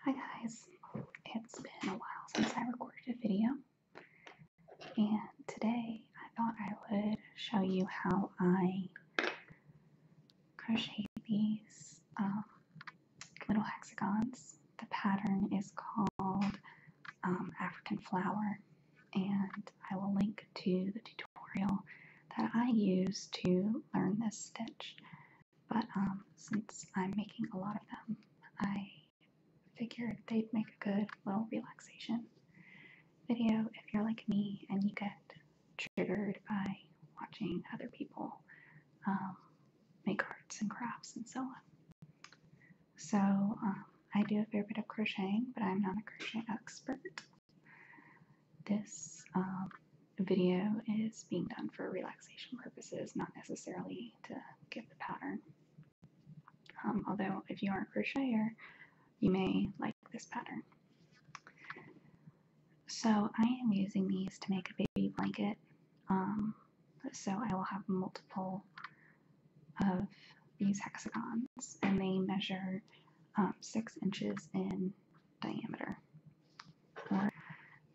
Hi guys, it's been a while since I recorded a video and today I thought I would show you how I crochet these um, little hexagons. The pattern is called um, African Flower and I will link to the tutorial that I used to learn this stitch. But um, since I'm making a lot of them, I figured they'd make a good little relaxation video if you're like me and you get triggered by watching other people um, make arts and crafts and so on. So um, I do a fair bit of crocheting, but I'm not a crochet expert. This video is being done for relaxation purposes, not necessarily to get the pattern. Um, although, if you are a crocheter, you may like this pattern. So I am using these to make a baby blanket. Um, so I will have multiple of these hexagons and they measure um, six inches in diameter.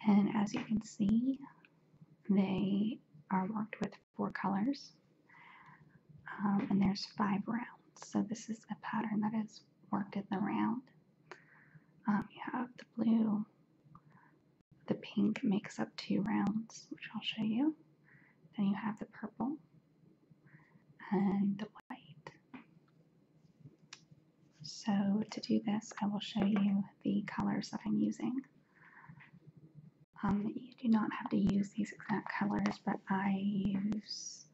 And as you can see, they are marked with four colors. Um, and there's five rounds. So this is a pattern that is worked in the round. Um, you have the blue, the pink makes up two rounds, which I'll show you. Then you have the purple and the white. So to do this, I will show you the colors that I'm using. Um, you do not have to use these exact colors, but I use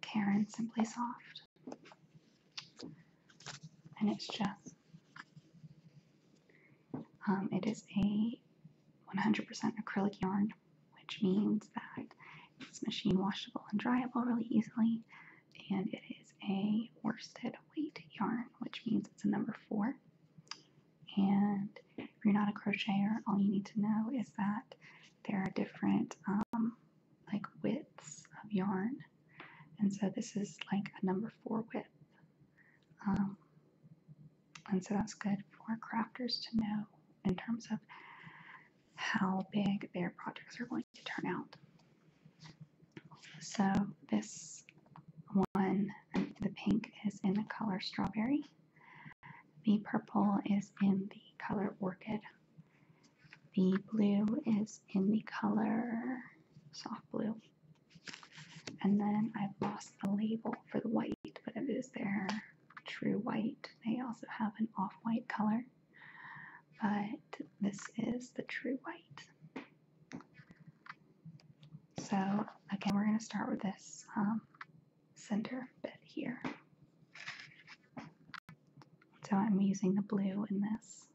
Karen Simply Soft. And it's just, um, it is a 100% acrylic yarn, which means that it's machine washable and dryable really easily and it is a worsted weight yarn, which means it's a number four. And if you're not a crocheter, all you need to know is that there are different um, like widths of yarn, and so this is like a number four width. Um, and so that's good for crafters to know in terms of how big their projects are going to turn out. So this one, the pink is in the color strawberry. The purple is in the color orchid. The blue is in the color soft blue. And then I've lost the label for the white, but it is their true white. They also have an off-white color but this is the true white. So again, we're going to start with this um, center bit here. So I'm using the blue in this.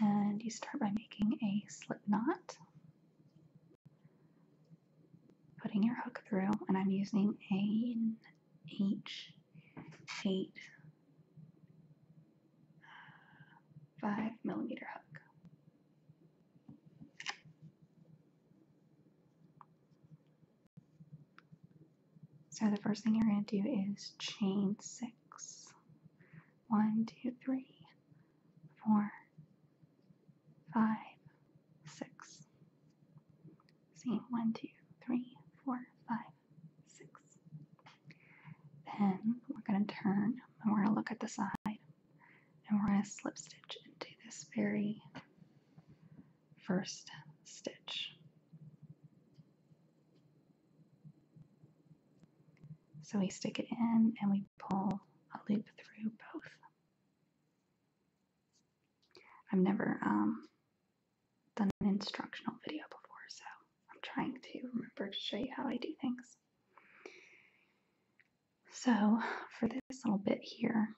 And you start by making a slip knot, putting your hook through, and I'm using an H eight five millimeter hook. So the first thing you're going to do is chain six. One, two, three, four, five, six. See, one, two, three, four, five, six. Then we're going to turn and we're going to look at the side and we're going to slip stitch into this very first stitch. So we stick it in and we pull a loop through both. I've never um, done an instructional video before, so I'm trying to remember to show you how I do things. So for this little bit here,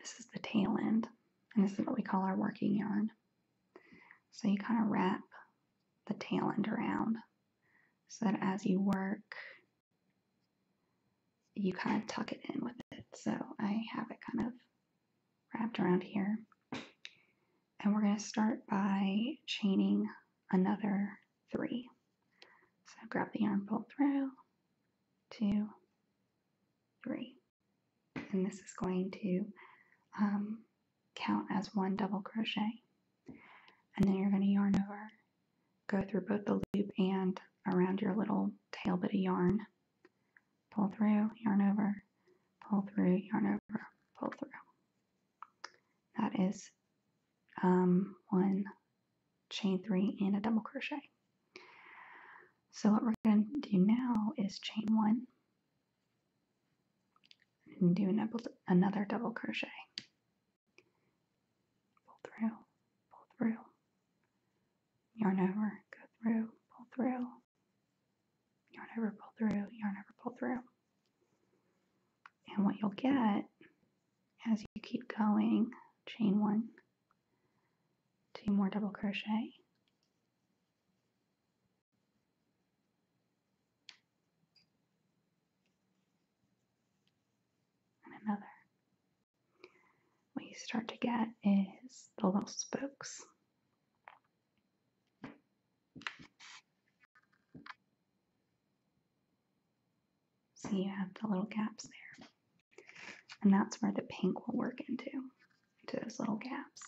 this is the tail end, and this is what we call our working yarn. So you kind of wrap the tail end around so that as you work, you kind of tuck it in with it. So I have it kind of wrapped around here. And we're going to start by chaining another three. So grab the yarn, pull through, two, three. And this is going to um, count as one double crochet. And then you're going to yarn over, go through both the loop and around your little tail bit of yarn pull through, yarn over, pull through, yarn over, pull through. That is um, one chain three and a double crochet. So what we're going to do now is chain one and do another double crochet. Pull through, pull through, yarn over, go through, pull through, yarn over, pull through, yarn over, pull through. And what you'll get as you keep going, chain one, two more double crochet, and another. What you start to get is the little spokes. So you have the little gaps there. And that's where the pink will work into, to those little gaps.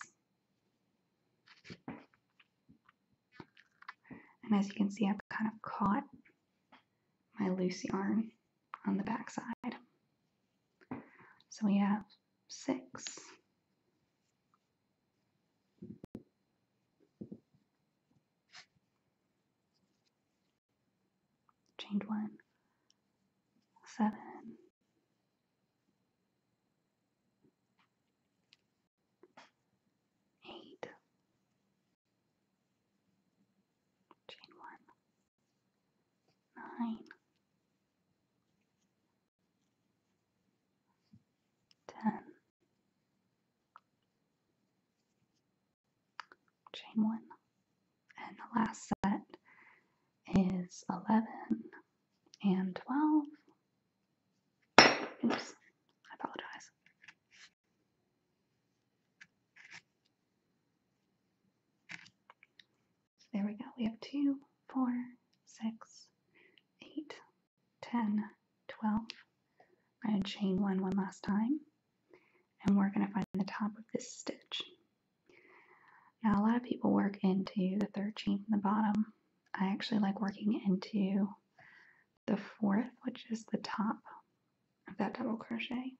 And as you can see, I've kind of caught my loose yarn on the back side. So we have six, Change one, seven, eight, chain one, nine, ten, chain one, and the last set is eleven and twelve. Oops, I apologize. So there we go. We have two, four, I'm going to chain one one last time. And we're going to find the top of this stitch. Now a lot of people work into the third chain from the bottom. I actually like working into the fourth, which is the top of that double crochet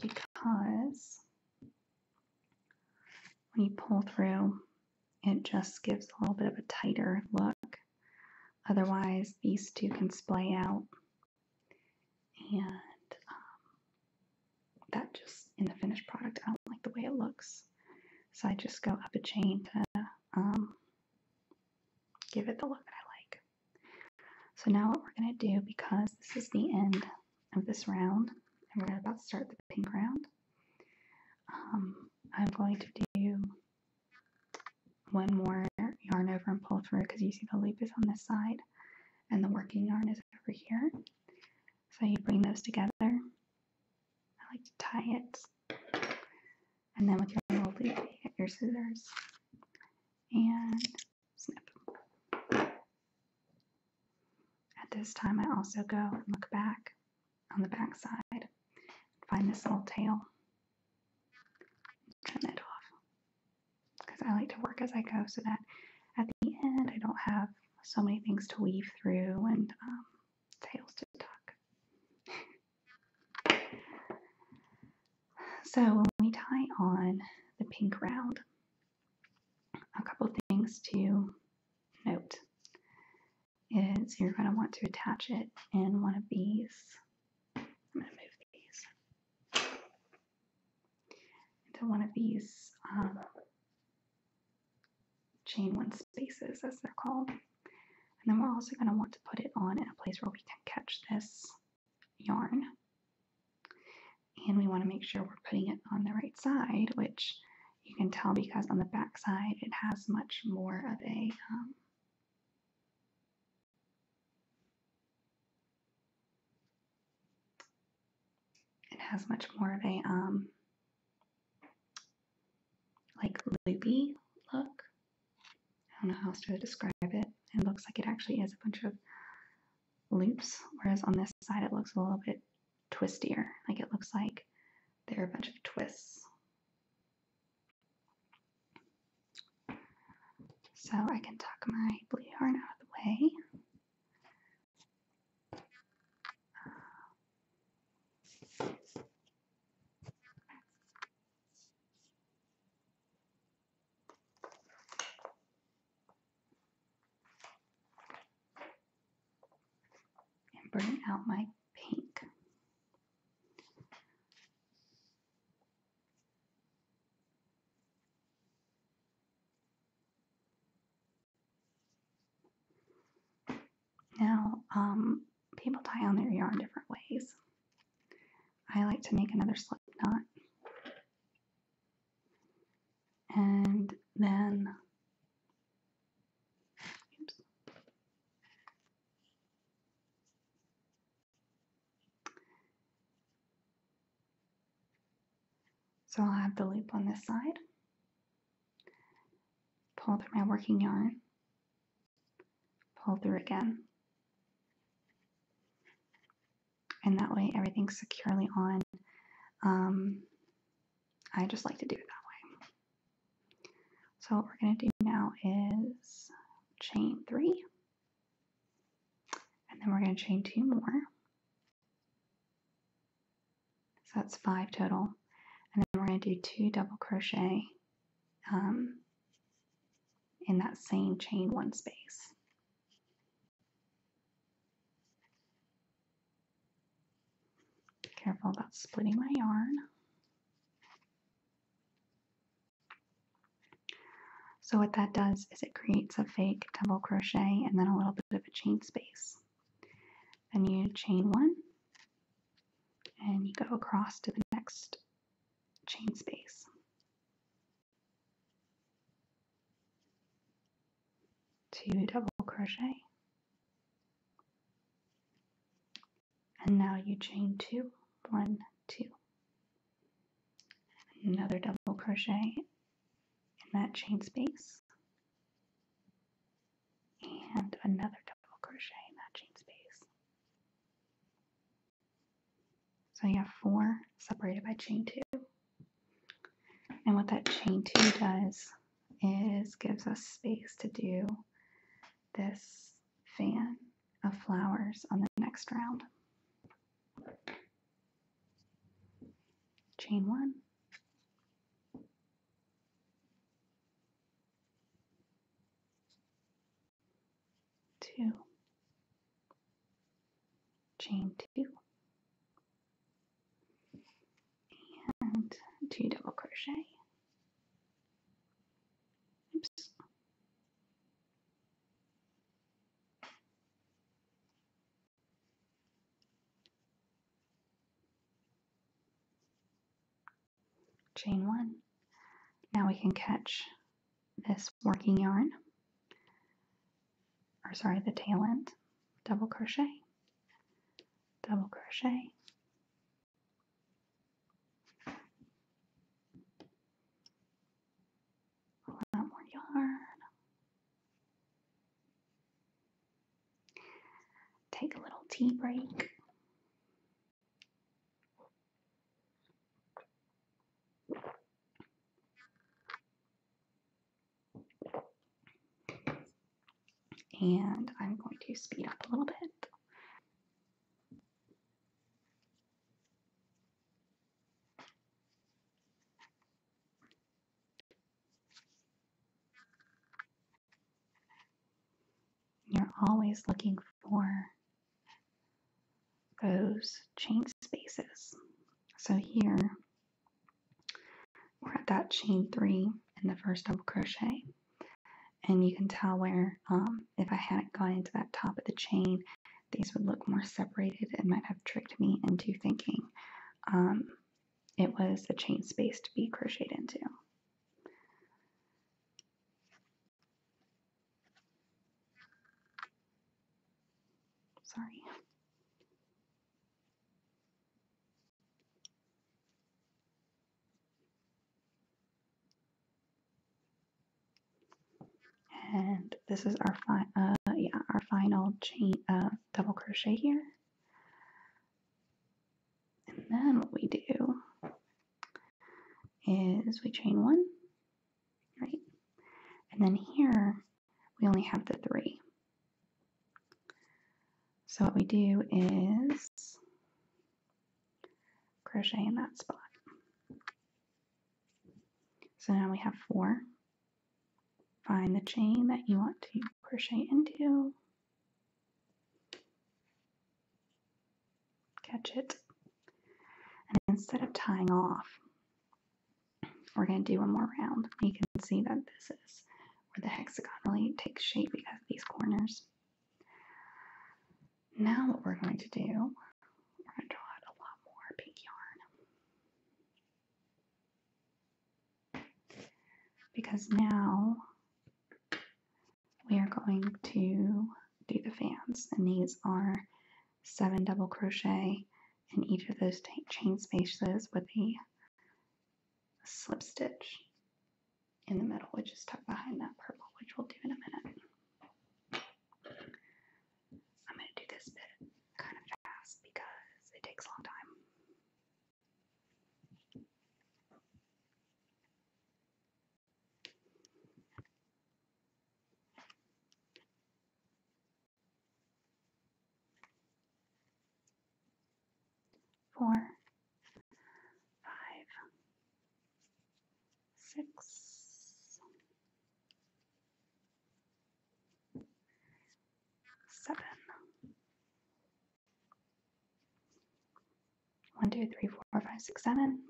because when you pull through, it just gives a little bit of a tighter look. Otherwise, these two can splay out. And um, that just, in the finished product, I don't like the way it looks. So I just go up a chain to um, give it the look that I like. So now what we're going to do, because this is the end of this round, and we're about to start the pink round. Um, I'm going to do one more yarn over and pull through because you see the loop is on this side and the working yarn is over here. So you bring those together. I like to tie it. And then with your little loop, you get your scissors and snip. At this time, I also go and look back on the backside, and find this little tail. Trim that off because I like to work as I go so that at the end I don't have so many things to weave through and um, tails to tuck. so when we tie on the pink round, a couple things to note is you're going to want to attach it in one of these. I'm going to move these into one of these um, chain one spaces, as they're called. And then we're also going to want to put it on in a place where we can catch this yarn and we want to make sure we're putting it on the right side, which you can tell because on the back side it has much more of a um, it has much more of a um, like loopy look. I don't know how else to describe it. It looks like it actually is a bunch of loops, whereas on this side it looks a little bit twistier. Like it looks like there are a bunch of twists. So I can tuck my blue yarn out of the way and bring out my pink. Now, um, people tie on their yarn different ways. I like to make another slip knot and then so I'll have the loop on this side pull through my working yarn pull through again and that way everything's securely on um, I just like to do it that way. So what we're going to do now is chain three. And then we're going to chain two more. So that's five total. And then we're going to do two double crochet um, in that same chain one space. Careful about splitting my yarn. So what that does is it creates a fake double crochet and then a little bit of a chain space. Then you chain one and you go across to the next chain space two double crochet and now you chain two one two another double crochet in that chain space and another double crochet in that chain space so you have four separated by chain two and what that chain two does is gives us space to do this fan of flowers on the next round. Chain one. Two. Chain two and two double crochet oops chain one now we can catch this working yarn or sorry the tail end double crochet double crochet pull out more yarn take a little tea break and I'm going to speed up a little bit. You're always looking for those chain spaces. So here we're at that chain three in the first double crochet. And you can tell where, um, if I hadn't gone into that top of the chain, these would look more separated and might have tricked me into thinking um, it was a chain space to be crocheted into. Sorry. And this is our fi uh, yeah our final chain uh, double crochet here. And then what we do is we chain one, right? And then here we only have the three. So what we do is crochet in that spot. So now we have four. Find the chain that you want to crochet into. Catch it. And instead of tying off, we're going to do one more round. You can see that this is where the hexagonally takes shape because of these corners. Now what we're going to do, we're going to draw a lot more pink yarn. Because now we are going to do the fans and these are seven double crochet in each of those chain spaces with a slip stitch in the middle, which is tucked behind that purple, which we'll do in a minute. I'm going to do this bit kind of fast because it takes a long time four, five, six, seven. One, two, three, four, five, six, seven.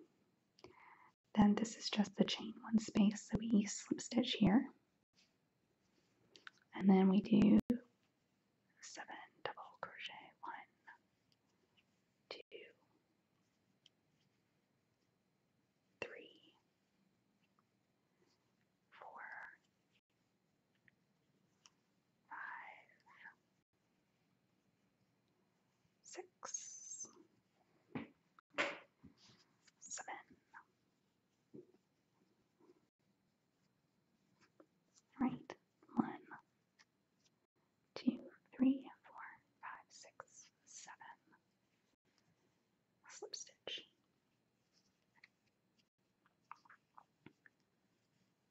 Then this is just the chain one space, so we slip stitch here. And then we do seven double crochet, one, two, three, four, five, six, seven, Right, one, two, three, four, five, six, seven. Slip stitch.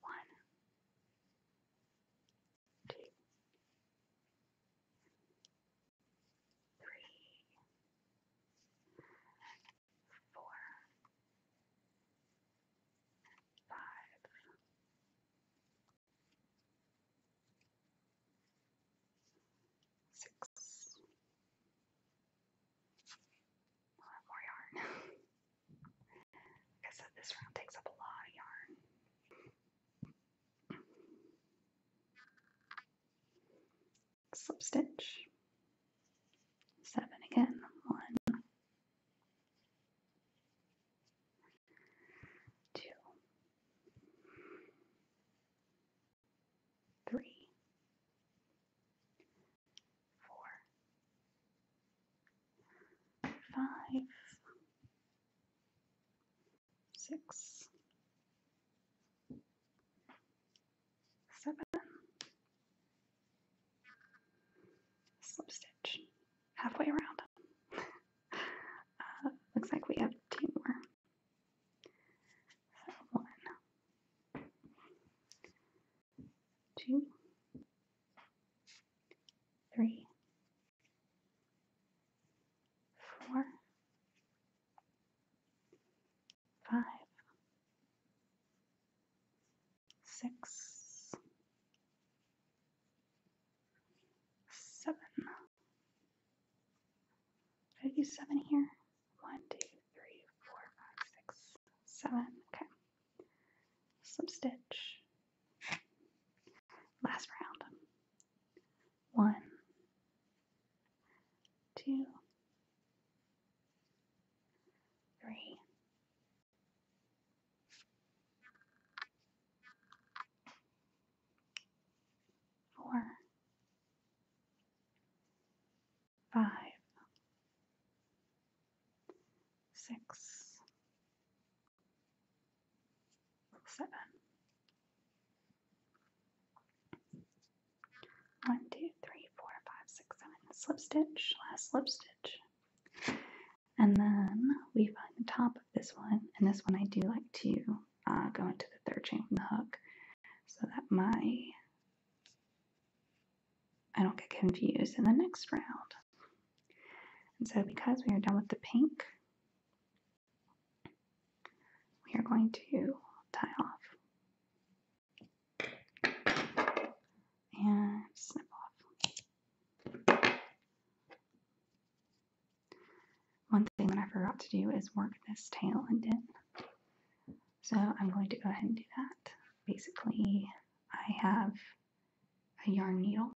One, two, three, four, five, six. We'll more yarn. like I said, this round takes up a lot of yarn. Slip stitch. Seven again. One, two, three, four, five, six, seven, slip stitch halfway around. Uh, looks like we have two more. So one, two, three, four, five, six, seven. Did I do seven here? One, two, three, four, five, six, seven. Okay. Slip stitch. Last round. One, two, three, four, five, six, seven. One, two, three, four, five, six, seven. Slip stitch, last slip stitch. And then we find the top of this one, and this one I do like to uh, go into the third chain from the hook so that my I don't get confused in the next round. And so because we are done with the pink, we are going to tie off and snip off. One thing that I forgot to do is work this tail end in. So I'm going to go ahead and do that. Basically, I have a yarn needle.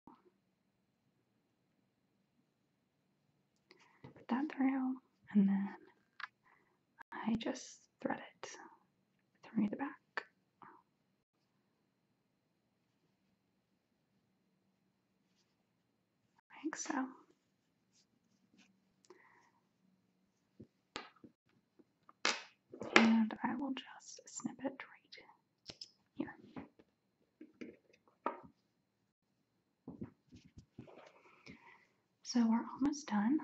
Put that through, and then I just thread it through the back. Like so. And I will just snip it right here. So we're almost done.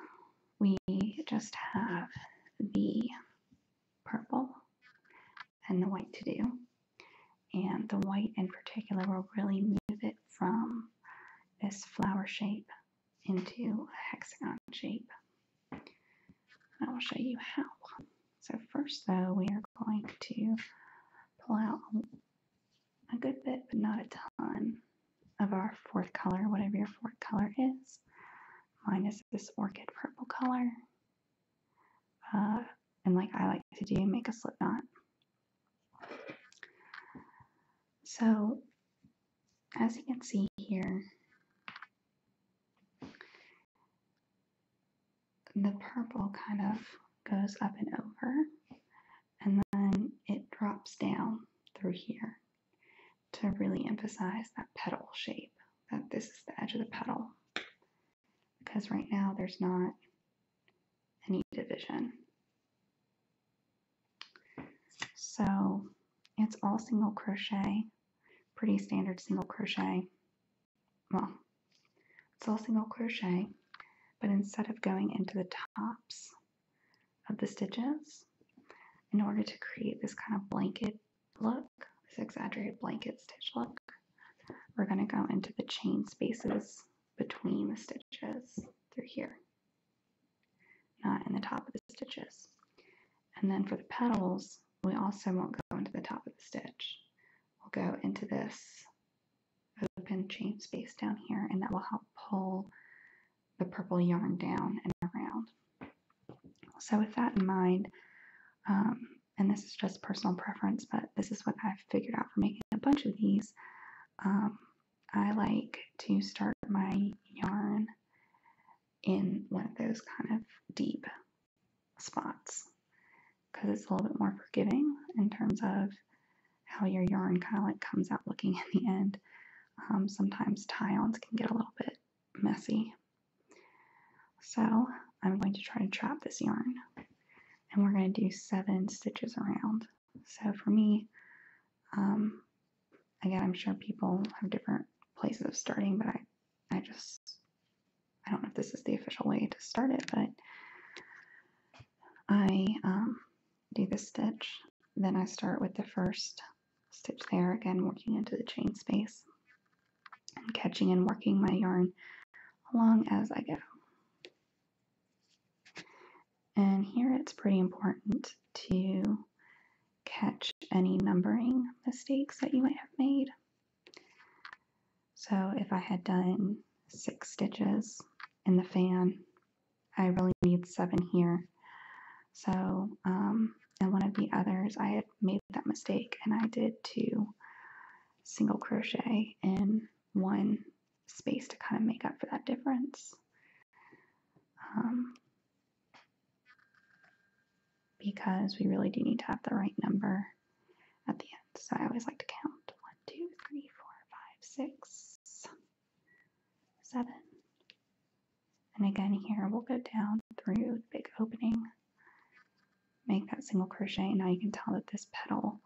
We just have the purple and the white to do. And the white in particular will really move it from this flower shape into a hexagon shape. I will show you how. So first though, we are going to pull out a good bit, but not a ton of our fourth color, whatever your fourth color is. Minus this orchid purple color. Uh, and like I like to do, make a slip knot. So as you can see here, the purple kind of goes up and over and then it drops down through here to really emphasize that petal shape, that this is the edge of the petal. Because right now there's not any division. So it's all single crochet, pretty standard single crochet. Well, it's all single crochet, but instead of going into the tops of the stitches, in order to create this kind of blanket look, this exaggerated blanket stitch look. We're going to go into the chain spaces between the stitches through here, not in the top of the stitches. And then for the petals, we also won't go into the top of the stitch. We'll go into this open chain space down here, and that will help pull the purple yarn down and around. So, with that in mind, um, and this is just personal preference, but this is what I've figured out for making a bunch of these. Um, I like to start my yarn in one of those kind of deep spots because it's a little bit more forgiving in terms of how your yarn kind of like comes out looking in the end. Um, sometimes tie-ons can get a little bit messy. So I'm going to try to trap this yarn and we're going to do seven stitches around. So for me, um, again, I'm sure people have different places of starting, but I, I just, I don't know if this is the official way to start it, but I um, do this stitch, then I start with the first stitch there again working into the chain space and catching and working my yarn along as I go. And here it's pretty important to catch any numbering mistakes that you might have made. So if I had done six stitches in the fan, I really need seven here. So um, and one of the others I had made that mistake, and I did two single crochet in one space to kind of make up for that difference. Um, because we really do need to have the right number at the end. So I always like to count one, two, three, four, five, six, seven, and again here, we'll go down through the big opening, make that single crochet. Now you can tell that this petal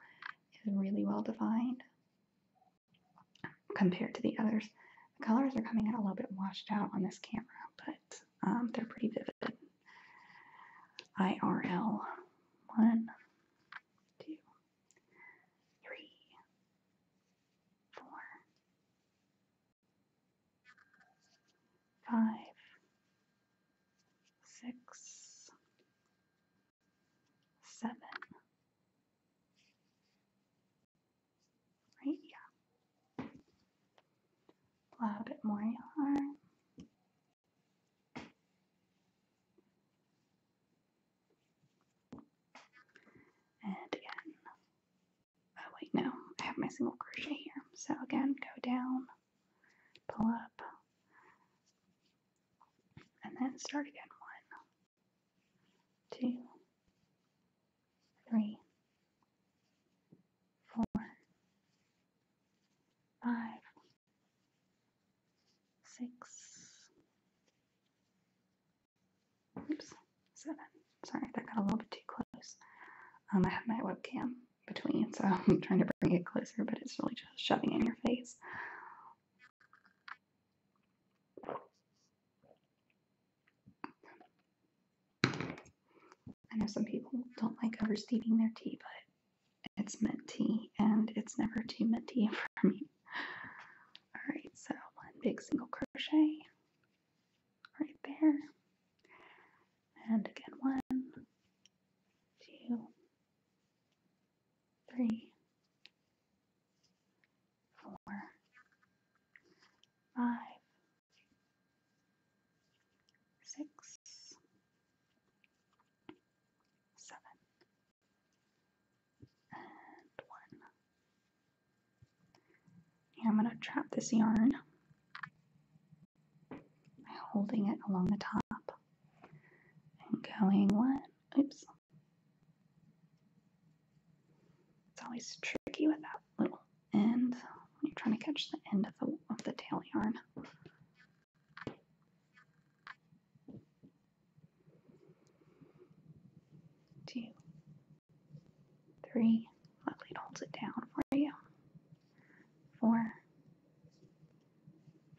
is really well defined compared to the others. The colors are coming out a little bit washed out on this camera, but um, they're pretty vivid. IRL. One, two, three, four, five, six, seven. Right, yeah. A little bit more yarn. And again, Oh wait, no, I have my single crochet here. So again, go down, pull up, and then start again. One, two, three, four, five, six, oops, seven. Sorry, that got a little bit too close. Um, I have my webcam between, so I'm trying to bring it closer, but it's really just shoving in your face. I know some people don't like oversteeping their tea, but it's mint tea, and it's never too minty for me. Alright, so one big single crochet right there. And again, one, two, three, four, five, six, seven, and one. And I'm going to trap this yarn by holding it along the top and going one. Oops. It's always tricky with that little end when you're trying to catch the end of the, tail yarn. Two, three, lovely, it holds it down for you four,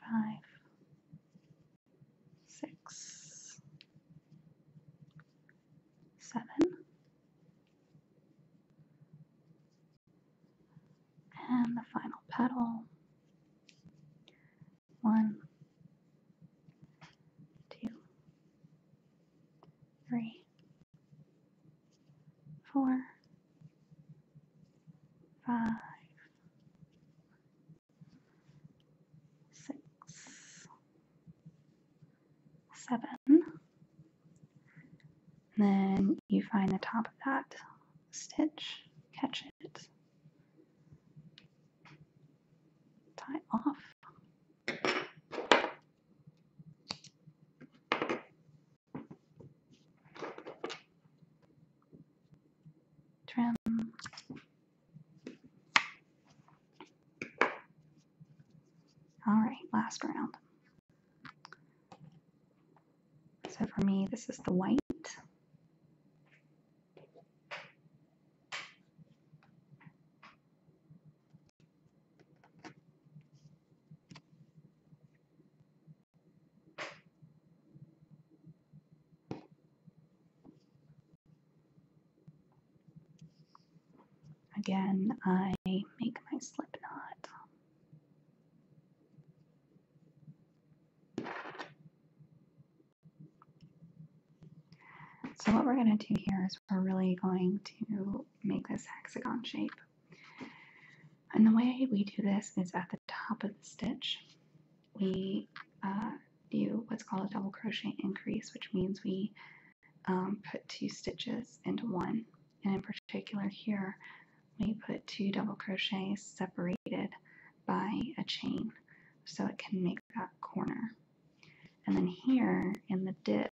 five, six, seven, and the final petal one, two, three four, five, six, seven. then you find the top of that stitch, catch it, tie off all right last round so for me this is the white Again, I make my slip knot. So what we're going to do here is we're really going to make this hexagon shape. And the way we do this is at the top of the stitch, we uh, do what's called a double crochet increase, which means we um, put two stitches into one. And in particular, here we put two double crochets separated by a chain so it can make that corner. And then here in the dip,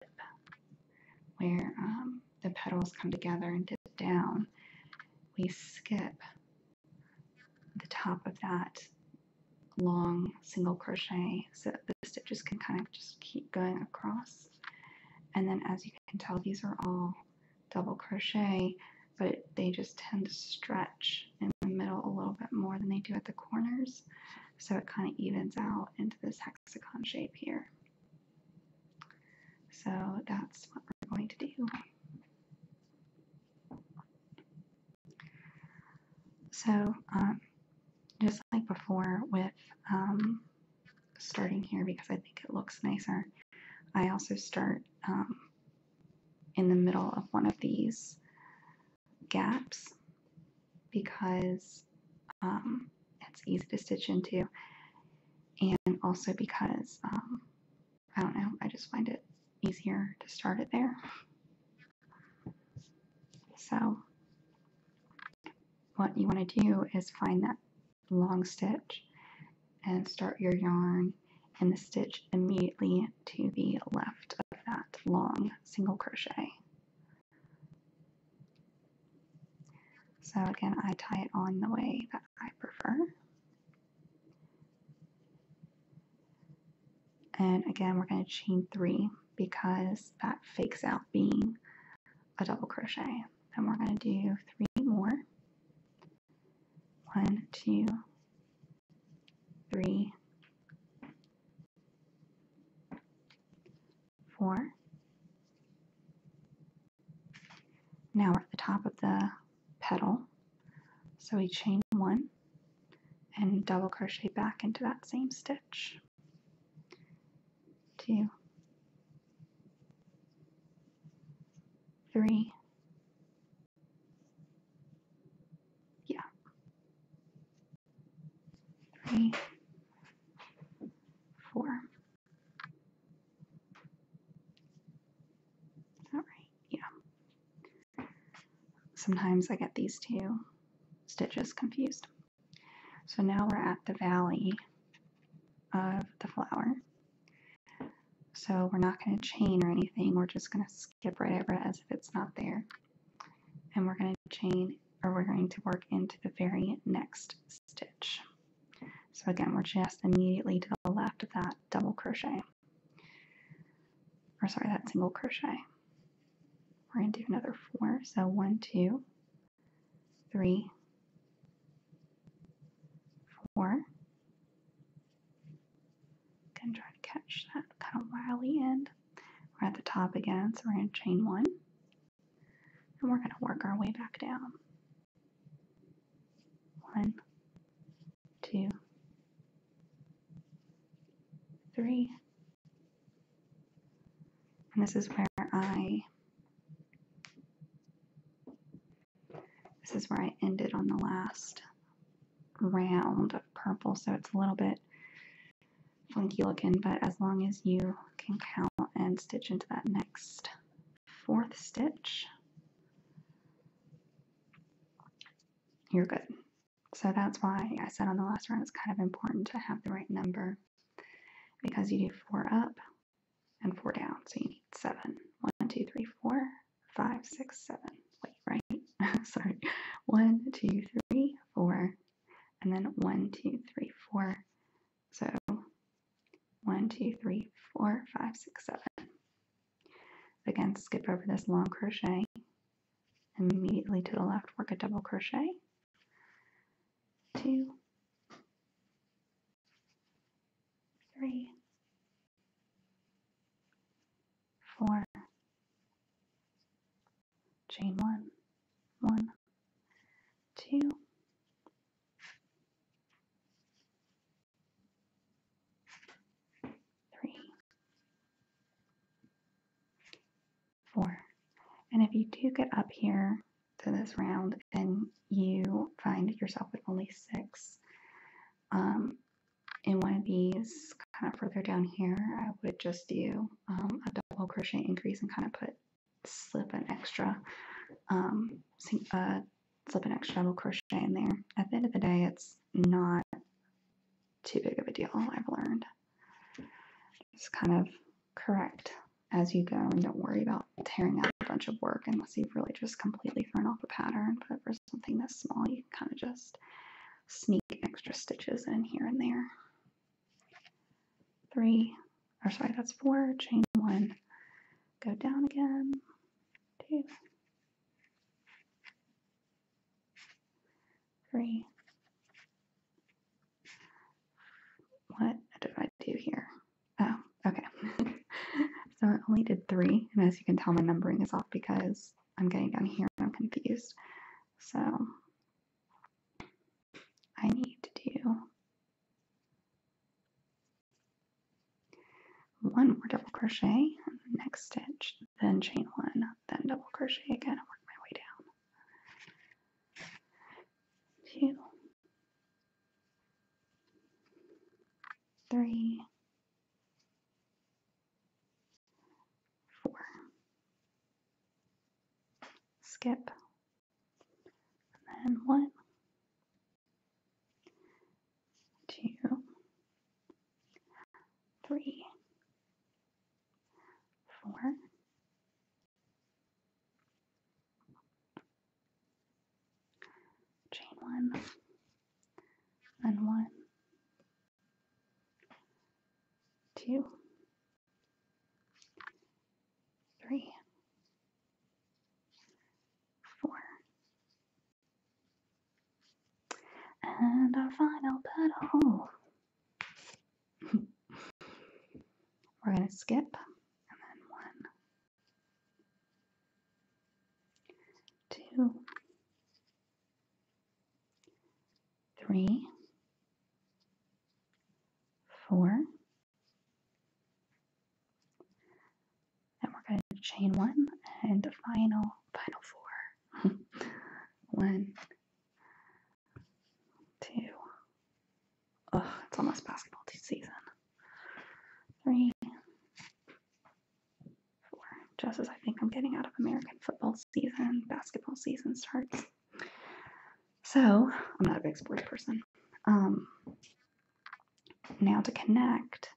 where um, the petals come together and dip down, we skip the top of that long single crochet so the stitches can kind of just keep going across and then as you can tell these are all double crochet but they just tend to stretch in the middle a little bit more than they do at the corners so it kind of evens out into this hexagon shape here so that's what we're going to do. So um, just like before with um, starting here because I think it looks nicer, I also start um, in the middle of one of these gaps because it's easy to stitch into and also because um, I don't know, I just find it easier to start it there. So, what you want to do is find that long stitch and start your yarn in the stitch immediately to the left of that long single crochet. So again, I tie it on the way that I prefer. And again, we're going to chain three because that fakes out being a double crochet. And we're going to do three more. One, two, three, four. Now we're at the top of the petal, so we chain one and double crochet back into that same stitch. Two, three, yeah, three, four. All right, yeah. Sometimes I get these two stitches confused. So now we're at the valley of the flower. So we're not going to chain or anything. We're just going to skip right over it as if it's not there. And we're going to chain or we're going to work into the very next stitch. So again, we're just immediately to the left of that double crochet, or sorry, that single crochet. We're going to do another four. So one, two, three, try to catch that kind of wily end. We're at the top again, so we're going to chain one, and we're going to work our way back down. One, two, three. And this is where I this is where I ended on the last round of purple, so it's a little bit funky looking, but as long as you can count and stitch into that next fourth stitch. You're good. So that's why I said on the last round it's kind of important to have the right number because you do four up and four down. So you need seven. One, two, three, four, five, six, seven. Wait, right? Sorry. One, two, three, four, and then one, two, three, four, so one, two, three, four, five, six, seven. Again, skip over this long crochet. and Immediately to the left, work a double crochet. Two, three, four, chain one, one, two, three, four. And if you do get up here to this round and you find yourself with only six um, in one of these, kind of further down here, I would just do um, a double crochet increase and kind of put slip an extra um, uh, slip an extra double crochet in there. At the end of the day, it's not too big of a deal, I've learned. Just kind of correct as you go and don't worry about tearing out a bunch of work unless you've really just completely thrown off a pattern. But for something this small, you kind of just sneak extra stitches in here and there. Three, or sorry, that's four, chain one, go down again. Two. Three. What did I do here? Oh, okay. so I only did three, and as you can tell, my numbering is off because I'm getting down here and I'm confused. So I need to do one more double crochet next stitch then chain one then double crochet again and work my way down two three four skip and then one, two, three, four, chain one, and one, two, three four. And our final petal. We're going to skip and then one, two, three, four. And we're going to chain one and final, final four. one, two, oh, it's almost basketball season. Three, four. Just as I think I'm getting out of American football season, basketball season starts. So I'm not a big sports person. Um, now to connect,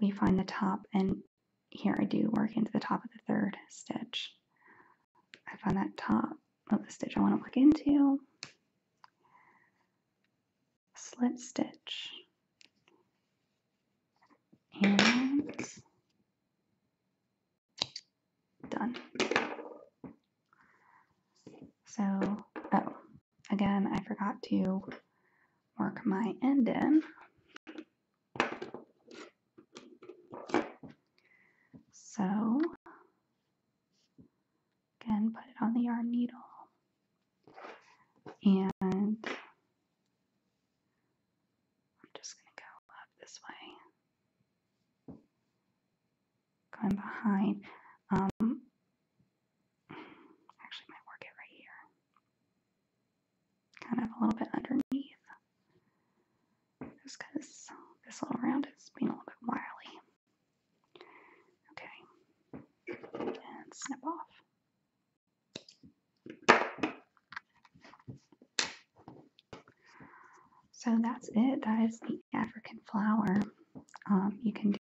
we find the top and here I do work into the top of the third stitch. I find that top of the stitch I want to work into, slip stitch, and done. So, oh, Again, I forgot to work my end in. So, again, put it on the yarn needle. And I'm just going to go up this way. Going behind. Um, actually might work it right here. Kind of a little bit underneath. Just because this little round is being a little bit wily. Okay. And snip off. So that's it. That is the African flower. Um, you can